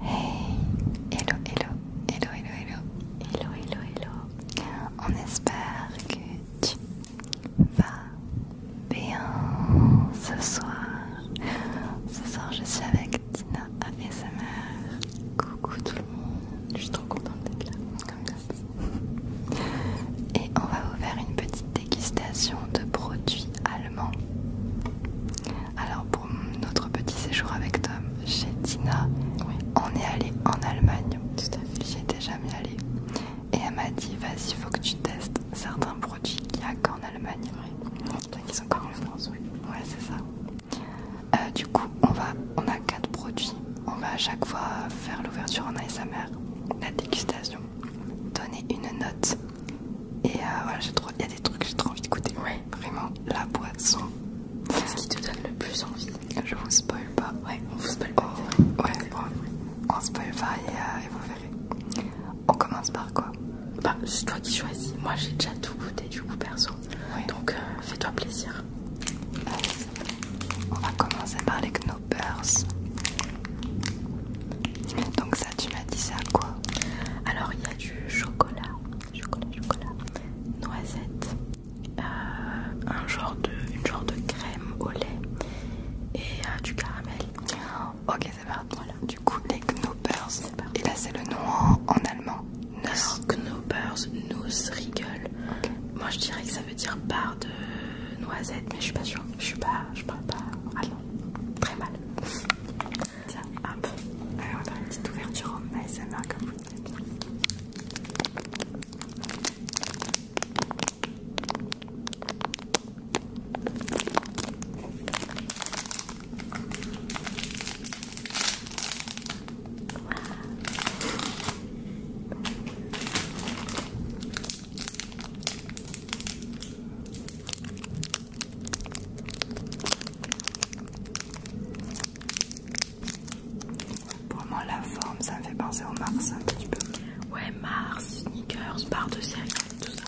Hey, hello, hello, hello, hello, hello, hello, hello, On espère que tu vas bien ce soir. Ce soir, je suis avec Tina ASMR. Coucou tout le monde, je suis trop contente d'être là, comme ça. Et on va vous faire une petite dégustation de produits allemands. Alors pour notre petit séjour avec Tom chez Tina, on est allé en Allemagne. Tout à fait. J'y jamais allé Et elle m'a dit vas-y faut que tu testes certains produits qu'il n'y a qu'en Allemagne. Oui. ils sont encore en France, oui. Ouais c'est ça. Euh, du coup on va on a quatre produits. On va à chaque fois faire l'ouverture en ASMR, la dégustation, donner une note et euh, voilà, j'ai il y a des trucs que j'ai trop envie de goûter. Vraiment, la boisson. C'est ce qui te donne le plus envie. Je vous spoil pas. Ouais, on vous spoil pas. On... Oh, ouais, on... spoil pas euh, et, vous verrez. On commence par quoi Bah, c'est toi qui choisis. Moi, j'ai déjà tout goûté du coup, perso. Donc, euh, fais-toi plaisir. On va commencer par les Knoppers. Donc, tu m'as dit ça quoi Alors il y a du chocolat, chocolat, chocolat, noisette, euh, un genre de, genre de crème au lait et euh, du caramel. Ok, c'est parti. Voilà. Du coup, les Knoppers. Et là, c'est le nom en, allemand. nos Knoppers, Nussriegel. Moi, je dirais que ça veut dire barre de noisette, mais je suis pas sûre. Je suis pas, je parle pas non. Très mal. Tiens, hop. Allez, on a une petite ouverture en ASMR comme vous pour moi, la forme, ça me fait penser au Mars un petit peu. Ouais, Mars, sneakers, barre de série, tout ça.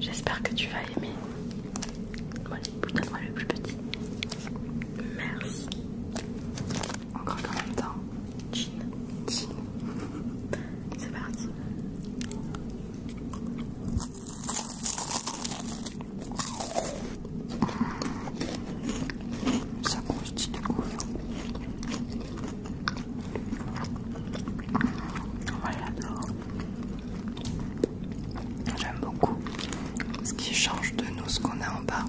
J'espère que tu vas aimer. Moi, donne moi le plus petit. Merci. Encore qu'en même temps. Jean chin. C'est parti. Ça croustille de ouf. Moi j'adore. J'aime beaucoup ce qui change de nous, ce qu'on a en bas.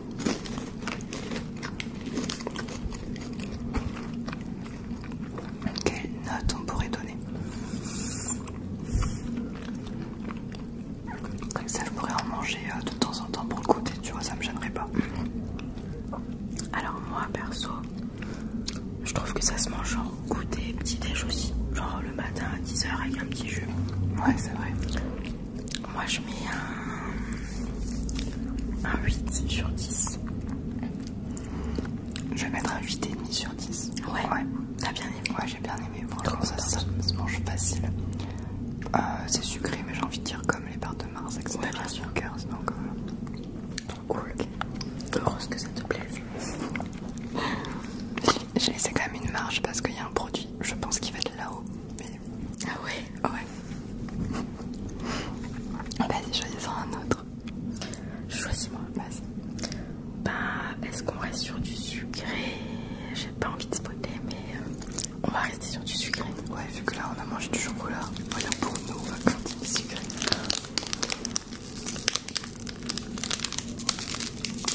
Quelle note on pourrait donner Comme ça, je pourrais en manger euh, de temps en temps pour le côté, tu vois, ça me gênerait pas. Alors, moi perso, je trouve que ça se mange en goûter, petit déj aussi, genre le matin à 10h avec un petit jus. Ouais, c'est vrai. Moi je mets un, un 8 sur 10. Je vais mettre un 8,5 sur 10. Ouais, t'as bien aimé. Ouais, j'ai bien aimé. je ça, ça, se mange facile. Euh, c'est sucré, mais j'ai envie de dire comme les barres de Mars, etc. Ouais, bien sûr. Euh, donc, cool. Heureuse que ça te plaise. J'ai laissé quand même une marge parce qu'il y a un produit, je pense qu'il va être là-haut, ah ouais ah Ouais. Vas-y, ah bah, choisis un autre. choisis moi. Vas-y. Bah, est-ce qu'on reste sur du sucré J'ai pas envie de spoiler, mais euh, on va rester sur du sucré. Ouais, vu que là on a mangé du chocolat, voilà pour nous, on va sucré.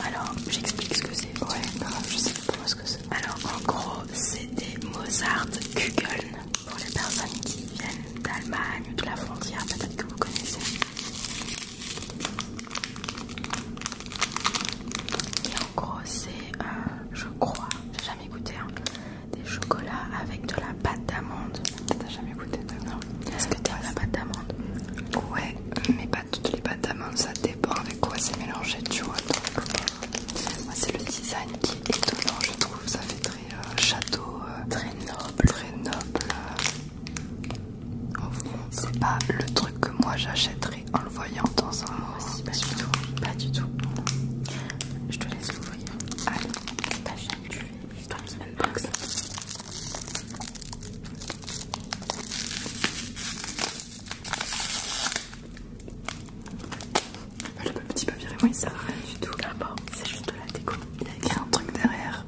Alors, j'explique ce que c'est. Ouais, bah, je sais pas ce que c'est. Alors en gros, c'est des Mozart Kugeln pour les personnes qui viennent d'Allemagne ou de la frontière, peut-être que vous connaissez. Et en gros, c'est, euh, je crois, j'ai jamais goûté, hein, des chocolats avec de la pâte d'amande. T'as jamais goûté Non. Est-ce que t'aimes la pâte d'amande Ouais, mais pas toutes les pâtes d'amande, ça dépend avec quoi c'est mélangé, tu vois. Euh, moi, c'est le design qui est étonnant, je trouve. Ça fait très euh, château, euh, très noble, très noble. Enfin, euh, C'est pas le truc que moi j'achèterais en le voyant dans un. Moi aussi, pas du tout. Pas du tout. Je te laisse l'ouvrir. Allez, une semaine box. Le bah, petit papier, ne sert à rien du tout. Ah c'est juste de la déco. Il y a écrit un truc derrière.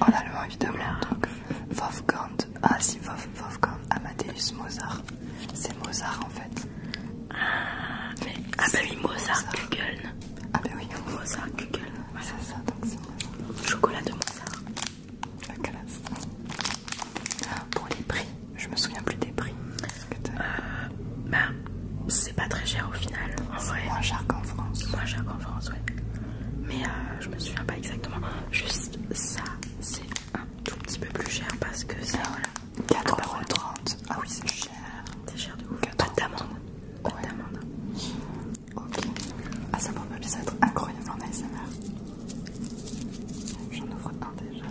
Oh là là, évidemment. Là. Donc, Wolfgang, ah si, Wolfgang Amadeus Mozart. C'est Mozart en fait. Ah, mais, ah bah oui, Mozart, Kugeln. Ah bah oui, Mozart Kugeln. C'est ça, donc c'est Chocolat de Mozart. Ah, pour les prix, je me souviens plus des prix. Euh, ben, c'est pas très cher au final. En Moins cher qu'en France. Moins cher qu'en France, Mais euh, je me souviens pas exactement. Juste ça, c'est un tout petit peu plus cher parce que c'est. Ah, voilà, 4,30€. Ah oui, c'est cher. C'est cher de ouf. Pas d'amande. Pas Ok. Ah, ça pourrait bien être incroyable en SMR. J'en ouvre un déjà.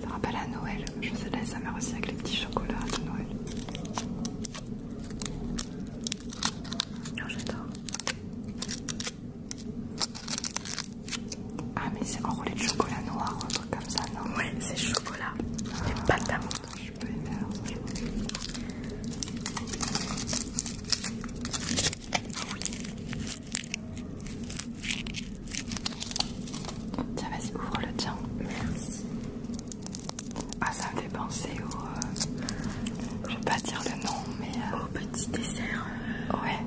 Ça rappelle à Noël. Je sais, de me SMR aussi avec les petits chocolats de Noël. Oh, J'adore. Ah, mais c'est enroulé de chocolat noir un truc comme ça, non Ouais, c'est chocolat ah, Mais pas d'amandes. Je peux Tiens, vas-y, ouvre le tien. Merci. Ah, ça me fait penser au. Euh, je vais pas dire le nom, mais. Euh, au petit dessert. Euh, ouais,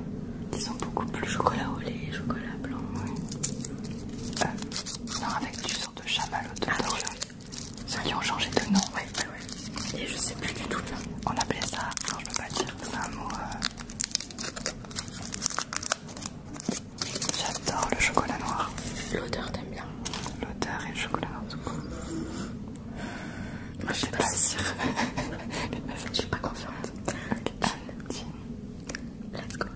ils sont beaucoup plus chocolat au lait, chocolat blanc. Ouais. Euh, non, avec du sort de chamallow ah, de ça oui, ont changé de nom. Ouais, Et je sais plus du tout. On appelait ça, non, je peux pas dire, c'est un mot. Euh, j'adore le chocolat noir. L'odeur, t'aimes bien L'odeur et le chocolat noir, tout Moi, je sais pas si... je suis pas confiante. L'alcool.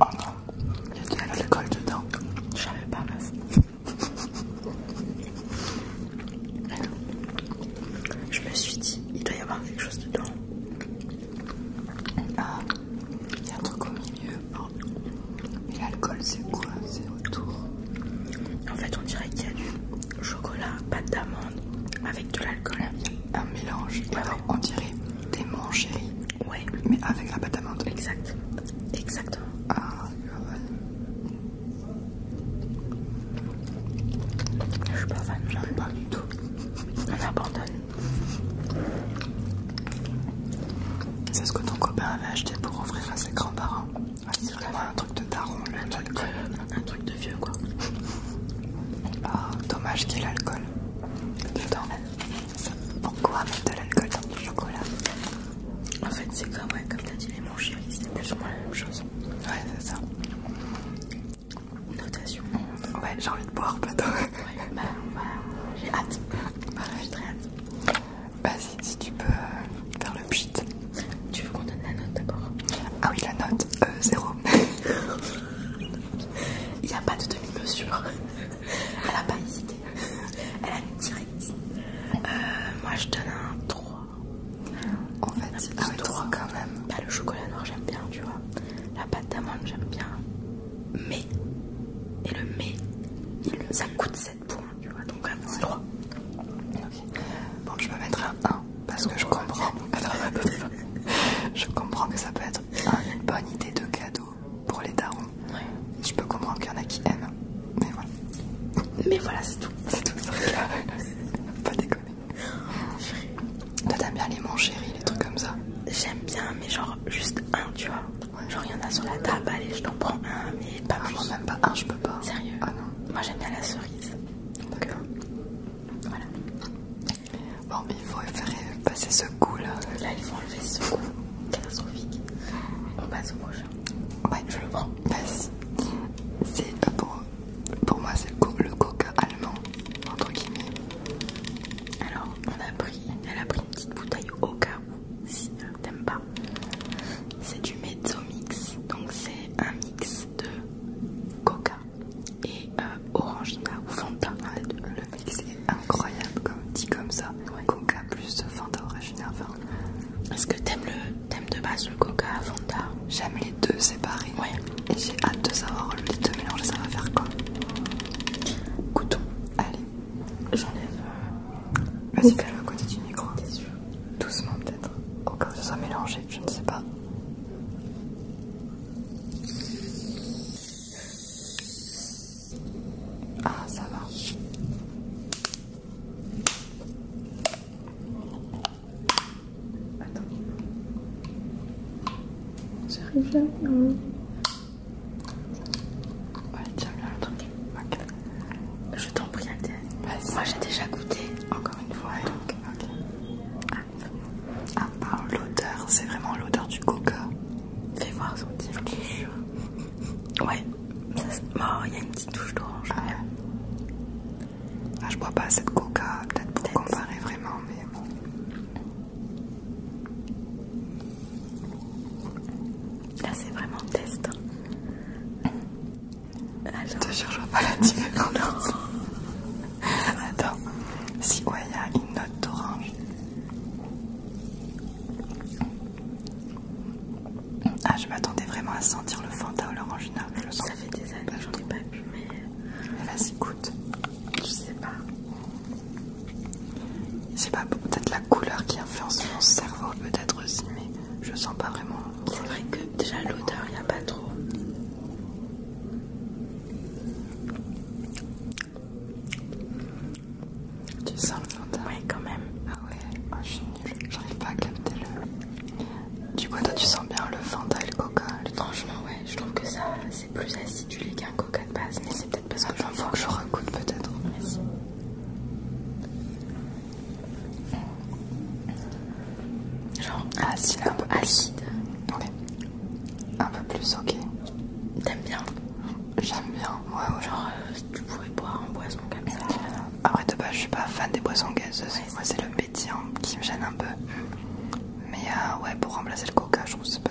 Oh non, il y a de l'alcool dedans. J'avais pas, meuf. Je me suis dit, il doit y avoir quelque chose dedans. Ah, il y a un truc au milieu. Mais oh. l'alcool, c'est quoi C'est autour. En fait, on dirait qu'il y a du chocolat, pâte d'amande avec de l'alcool. Un mélange. on dirait des mangeries, Ouais. Mais avec la pâte d'amande. Exact. Exactement. Ah, je suis pas fan. ai pas du tout. On abandonne. C'est ce que ton copain avait acheté pour offrir à ses grands-parents. Ah, c'est vraiment un truc de taron un, truc de, un truc de vieux quoi. Ah, dommage qu'il y ait l'alcool dedans. Pourquoi mettre de l'alcool dans du chocolat En fait, c'est comme, t'as dit, les manches c'est plus ou moins la même chose. Ouais, c'est ça. Notation. Ouais, j'ai envie de boire, plutôt. Bah, bah, j'ai hâte. j'ai très hâte. Vas-y, si tu peux euh, faire le pchit. Tu veux qu'on donne la note d'abord Ah oui, la note, euh, zéro. Il n'y a pas de demi-mesure. Elle a pas hésité. Elle a mis direct. Euh, moi je donne un 3. En fait, un 3 ah quand même. Bah, le chocolat noir, j'aime bien, tu vois. La pâte d'amande, j'aime bien. Mais, et le mais, il, ça coûte ça tu vois, donc un 3. OK. Bon, je peux mettre un 1 parce que je comprends. je comprends que ça peut être une bonne idée de cadeau pour les darons. Je peux comprendre qu'il y en a qui aiment, mais voilà. Mais voilà, c'est tout. C'est tout, Pas déconner. Toi, t'aimes bien les mon chéri, les trucs comme ça J'aime bien, mais genre juste un, tu vois. Genre il y en a sur la table, ah, allez je t'en prends un mais pas ah, plus. Moi même pas un, je peux pas. Sérieux Ah non. Moi j'aime bien la cerise. D'accord. Euh, voilà. Bon mais il faut faire passer ce coup là. Là il faut enlever ce coup. Catastrophique. On passe bah, au prochain. Ouais je le prends. C'est euh, pour, pour moi c'est le, coca allemand. Entre guillemets. Alors on a pris, elle a pris une petite bouteille au cas où euh, t'aimes pas. C'est du mezzo mix, donc c'est un mix de coca et euh, orange orangina ou Fanta. Ah, le mix est incroyable, comme dit comme ça. Coca plus Fanta orangina. Fanta. est-ce que t'aimes le thème de base le coca Fanta J'aime les deux séparés. Et j'ai hâte de savoir les deux ça va faire quoi Goûtons. Allez, J'enlève. Vas-y, fais-le à côté du micro. Doucement, peut-être. Au cas où ça soit mélangé, je ne sais pas. Ah, ça va. Attends. J'arrive non Ouais, truc. Je t'en prie, Moi j'ai déjà goûté. Encore une fois. Ah, l'odeur, c'est vraiment l'odeur du coca. Fais voir son petit. Ouais. Il y a une petite touche d'orange. Ah, ah, je bois pas assez de coca, peut-être pour comparer vraiment, mais bon. Là c'est vraiment test. Je te jure, je vois pas la différence. Attends, si ouais, il y a une note d'orange. Ah, je m'attendais vraiment à sentir le Fanta ou l'orangina. Ça fait des années que j'en ai pas pu, mais. mais Vas-y, écoute. Je sais pas. C'est pas peut-être la couleur qui influence mon cerveau, peut-être aussi, mais je sens pas vraiment. C'est vrai que déjà l'odeur, il a pas trop. Tu sens le Fanta Oui, quand même. Ah ouais, ah, je j'arrive pas à capter le. Du coup, toi, tu sens bien le Fanta et le Coca. Le... Franchement, ouais, je trouve que ça, c'est plus acidulé qu'un Coca de base, mais c'est parce que j'en vois que je recoute peut-être. Genre acide, un peu plus. plus, ok. T'aimes bien J'aime bien, ouais, Genre, euh, tu pourrais boire un boisson comme ça. Après, de base, je suis pas fan des boissons gazeuses. Moi, c'est le métier hein, qui me gêne un peu. Mais euh, ouais, pour remplacer le coca, je trouve que pas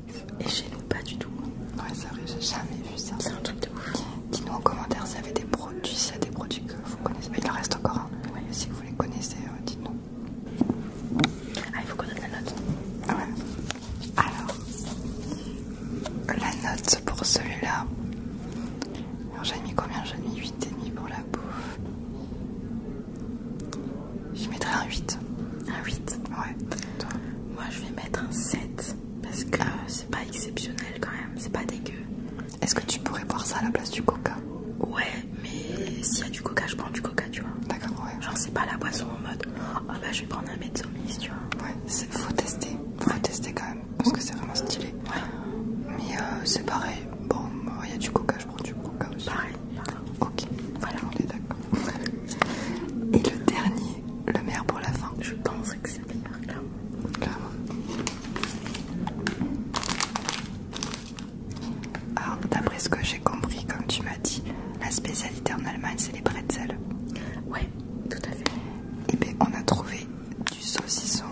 et chez nous, pas du tout. Ouais, c'est vrai, j'ai jamais vu ça. C'est un truc de ouf. Dis-nous en commentaire s'il y avait des produits, s'il y a des produits que vous connaissez. Mais il en reste encore un. Si vous les connaissez, euh, dites-nous. Ah, il faut qu'on donne la note. Ouais. Alors, la note pour celui-là. Alors, j'ai mis combien J'ai mis 8,5 pour la bouffe. Je mettrai un 8. Un 8 Ouais. Moi je vais mettre un 7 parce que euh, c'est pas exceptionnel quand même, c'est pas dégueu. Est-ce que tu pourrais boire ça à la place du coca Ouais, mais s'il y a du coca, je prends du coca, tu vois. D'accord, ouais. Genre c'est pas la boisson en mode ah bah je vais prendre un mezzomis, tu vois. Ouais, faut tester, faut tester quand même parce que c'est vraiment stylé. Ouais. Mais euh, c'est pareil, bon, il y a du coca, je du Pareil, Ok, voilà, on est d'accord. Et le dernier, le meilleur pour la fin. Je pense que c'est le meilleur, clairement. Alors, d'après ce que j'ai compris, comme tu m'as dit, la spécialité en Allemagne, c'est les bretzels. Ouais, tout à fait. Et eh bien, on a trouvé du saucisson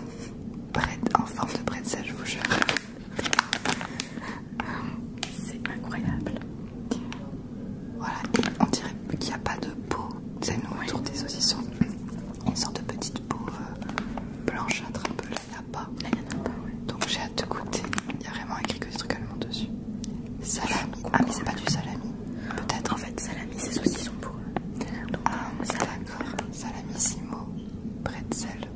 en forme de bretzel, je vous jure. C'est incroyable. Voilà, et on dirait qu'il n'y a pas de peau. C'est nous autour des saucissons. On sorte de petite peau euh, blanches blanchâtre un peu. Là, il n'y en a pas, Donc j'ai hâte de goûter. Il y a vraiment écrit que des trucs allemands dessus. Salami. Ah, mais c'est pas du salami. Peut-être. En fait, salami, c'est saucisson pour eux. ah, euh, d'accord. Salamissimo. Bretzel.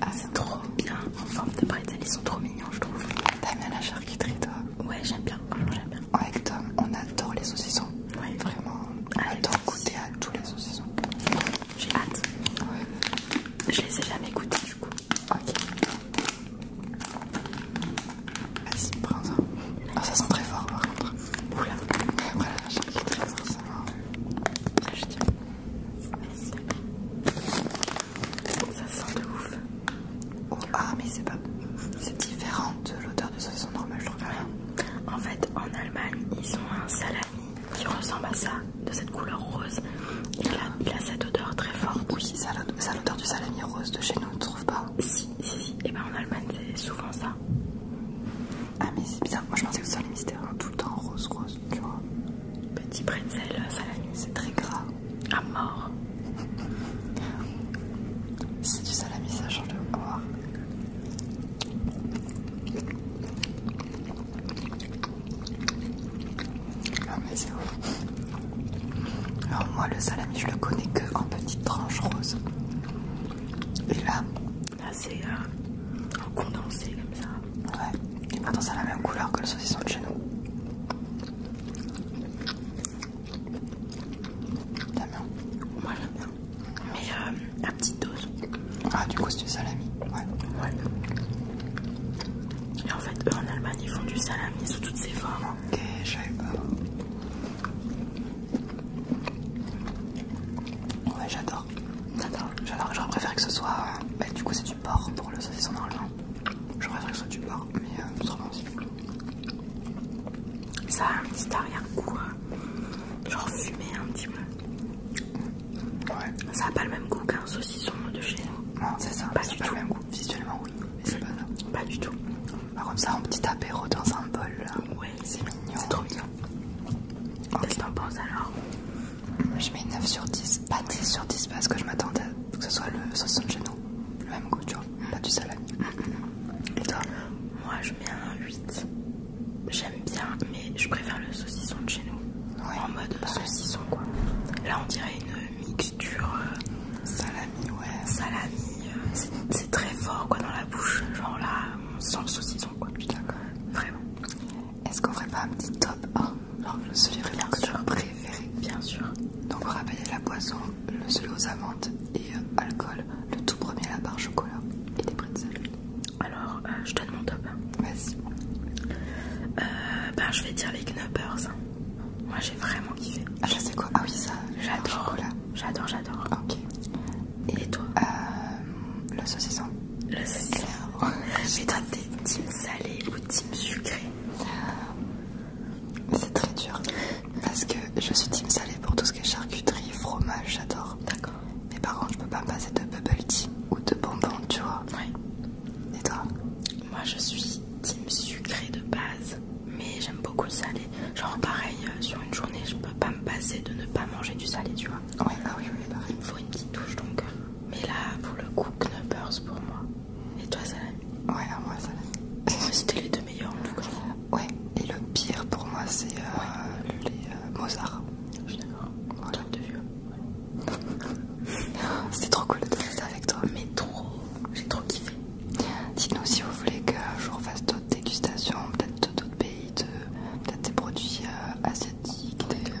Ah, c'est trop bien en forme de bretzel, ils sont trop mignons, je trouve. T'aimes bien la charcuterie, toi Ouais, j'aime bien, j'aime bien. Avec Tom, on adore les saucissons. Ouais, vraiment, on ah, adore goûter à tous les saucissons. J'ai hâte. Ouais. Je les ai jamais goûtés, du coup. Ok. Vas-y, prends ça. Ah, ça sent très fort par contre. Oula. Après la charcuterie, ça sent je dirais. Ça sent de ouf. ah mais c'est pas... C'est différent de l'odeur de saucisson normale je trouve. En fait en Allemagne ils ont un salami qui ressemble à ça, de cette couleur rose. Il a, cette odeur très forte. Oui, ça a l'odeur du salami rose de chez nous, tu trouve pas Si, si, si. Et eh ben en Allemagne c'est souvent ça. Ah, mais c'est bizarre. Moi je pensais que sol salami mystère tout le temps rose, rose, tu vois. Petit pretzel euh, salami, c'est très gras. À mort. C'est du salami, ça change de voir. Ah, mais c'est ouf. Alors, moi, le salami, je le connais que en petites tranches roses. Et là, assez euh, condensé comme ça. Ouais. Et maintenant ça a la même couleur que le saucisson de chez nous. T'aimes bien Moi j'aime bien. Mais euh, à petite dose. Ah du coup c'est du salami. Ouais. Et en fait eux en Allemagne ils font du salami sous toutes ses formes. Ok, j'avais pas. Ouais j'adore j'adore. J'aurais préféré que ce soit. Bah, du coup, c'est du porc pour le saucisson normalement, J'aurais préféré que ce soit du porc, mais euh, autrement aussi. Ça a un petit arrière-goût, euh, genre fumé un petit peu. Ça a pas le même goût qu'un saucisson de chez nous. Non, c'est ça. Pas du tout. Le même goût. Visuellement, oui, mais c'est pas ça. Pas du tout. Par contre, ça un petit apéro dans un bol. Là. C'est mignon. C'est trop mignon. Qu'est-ce que t'en penses alors Je mets 9 sur 10. Pas 10 sur 10 parce que je m'attendais que ce soit le saucisson de chez nous, Le même goût, tu vois. Mm. Pas du salami. Mm, mm, Et toi Moi je mets un 8. J'aime bien, mais je préfère le saucisson de chez nous. en mode saucisson quoi. Là on dirait une mixture. Euh, salami, ouais. Salami. Euh, c'est très fort quoi dans la bouche. Genre là, on sent le saucisson quand Vraiment. Est-ce qu'on ferait pas un petit top 1 Genre le celui vraiment que tu préféré Bien sûr. Donc on rappelez la boisson, le celui aux amandes et euh, alcool. Le tout premier la barre chocolat et des pretzels. Alors euh, je donne mon top. Vas-y. ben, je vais dire les Knoppers. Moi j'ai vraiment kiffé. Ah, je sais quoi Ah oui, ça. J'adore. J'adore, j'adore. Ok. Et toi Le saucisson. Le saucisson. Mais toi, t'es team salé ou team sucré euh, C'est très dur. Parce que je suis team salé pour tout ce qui est charcuterie, fromage, j'adore. D'accord. Mais par contre, je peux pas me passer de bubble tea ou de bonbons, tu vois. Et toi Moi, je suis team sucré de base, mais j'aime beaucoup le salé. Genre pareil, euh, sur une journée, je peux pas me passer de ne pas manger du salé, tu vois. Ouais, ah oui, oui, pareil. Il me faut une petite touche donc. Euh. Mais là, pour le coup, Knuppers pour moi. Et toi, salé Ouais, à moi, salé. C'était les deux meilleurs en tout cas. Ouais, et le pire pour moi, c'est le euh, les Mozart. Je suis d'accord. Voilà. de vieux. C'était trop cool de ça avec toi. Mais trop, j'ai trop kiffé. Dites-nous si vous voulez que je refasse dégustation peut-être d'autres pays, de, peut-être des produits euh, asiatiques, des,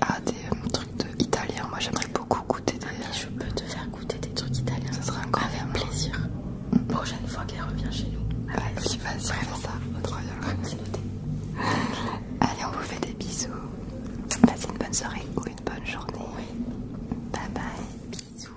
ah, euh, trucs italiens. Moi j'aimerais beaucoup goûter je peux te faire goûter des trucs italiens. Ça serait un Avec plaisir. Mm. Prochaine fois qu'elle revient chez nous. vas ça. Allez, on vous fait des bisous. Passez une bonne soirée ou une bonne journée. Bye bye. Bisous.